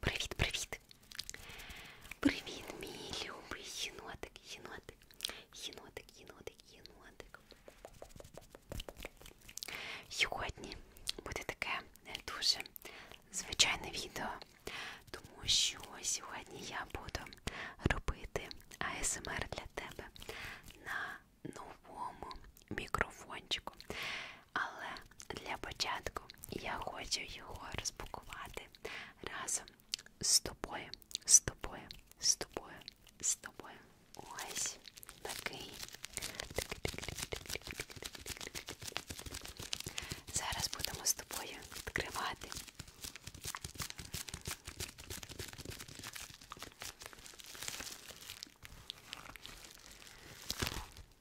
Привіт-привіт! Привіт, мій любий єнотик, єнотик, єнотик, єнотик, єнотик. Сьогодні буде таке не дуже звичайне відео, тому що сьогодні я буду робити АСМР для тебе на новому мікрофончику. Але для початку я хочу його розпакувати разом з тобою, з тобою, з тобою, з тобою. Ось такий. Зараз будемо з тобою відкривати.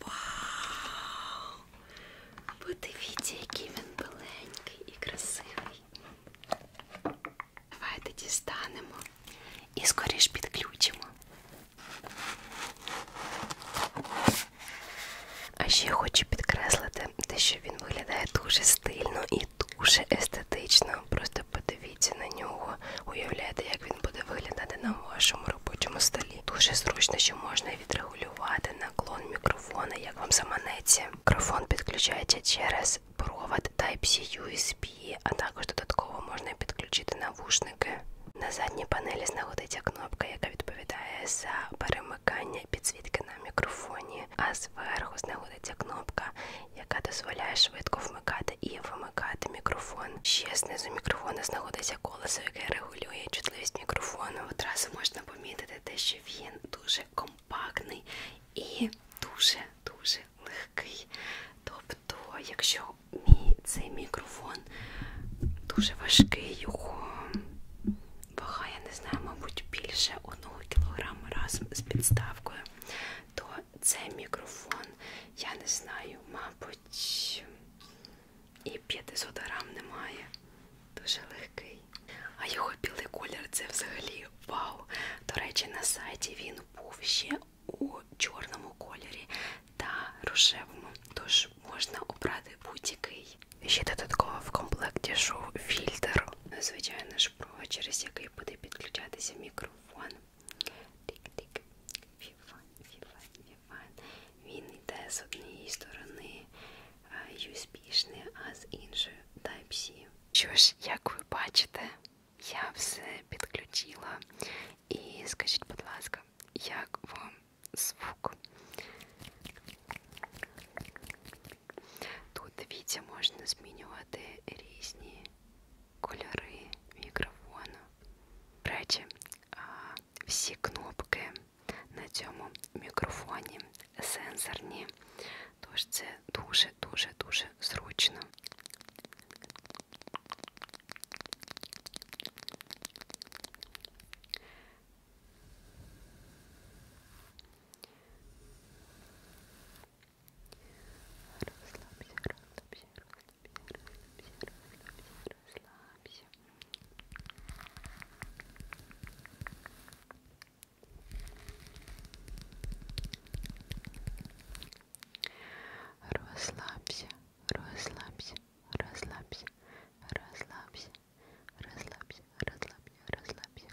Вау! Подивіться, який він беленький і красивий. Давайте дістанемо і скоріш підключимо. А ще я хочу підкреслити, те, що він виглядає дуже стильно і дуже естетично. Просто подивіться на нього, уявляєте, як він буде виглядати на вашому робочому столі. Дуже зручно, що можна відрегулювати наклон мікрофона, як вам заманеться. Мікрофон підключається через провод Type-C USB, а також додатково можна підключити навушники. На задній панелі знаходиться кнопка, яка відповідає за перемикання підсвітки на мікрофоні, а зверху знаходиться кнопка, яка дозволяє швидко вмикати і вимикати мікрофон. Ще знизу мікрофона знаходиться колесо, яке регулює чутливість мікрофону. Одразу можна помітити те, що він дуже комфортний компактний і дуже-дуже легкий. Тобто, якщо мій цей мікрофон дуже важкий, його вага, я не знаю, мабуть, більше 1 кг разом з підставкою, то цей мікрофон, я не знаю, мабуть, і 500 грам немає. Дуже легкий. А його білий колір це взагалі вау. До речі, на сайті він був ще у чорному кольорі та рожевому, тож можна обрати будь-який. Ще додатково в комплекті йшов фільтр. Звичайно ж, провод, через який буде підключатися мікрофон. Тик-тик, віван, віван, віван. Він йде з однієї сторони. USB-шний, а з іншою Type-C. Що ж, як ви бачите, я все підключила. І скажіть, будь ласка, як вам звук? Тут дивіться, можна змінювати різні кольори мікрофону. Речі, всі кнопки на цьому мікрофоні сенсорні, тож це дуже-дуже-дуже зручно. Розслабся, розслабся, розслабся, розслабся, розслабся, розслабся. Расслабься, расслабься, расслабься, расслабься, расслабься, расслабься, расслабься. Расслабься,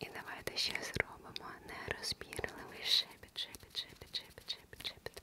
І давайте ще зробимо нерозбірливий шепіт, шепіт, шепіт, шепіт, шепіт, шепіт.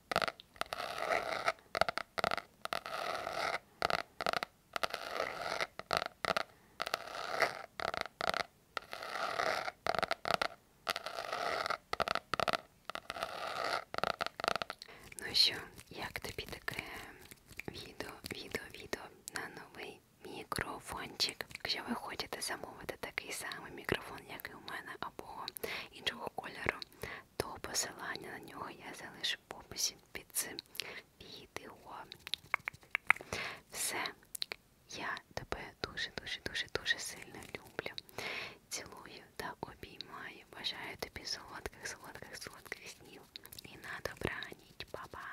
Ну що, як тобі таке відео, відео, відео на новий мікрофончик? Якщо ви хочете замовити такий самий мікрофон, як і у мене, або іншого кольору, то посилання на нього я залишу в описі під цим відео. Все, я тебе дуже-дуже-дуже дуже сильно люблю. Цілую та обіймаю. Бажаю тобі солодких, солодких, солодких снів. І на добраніч, Па-па!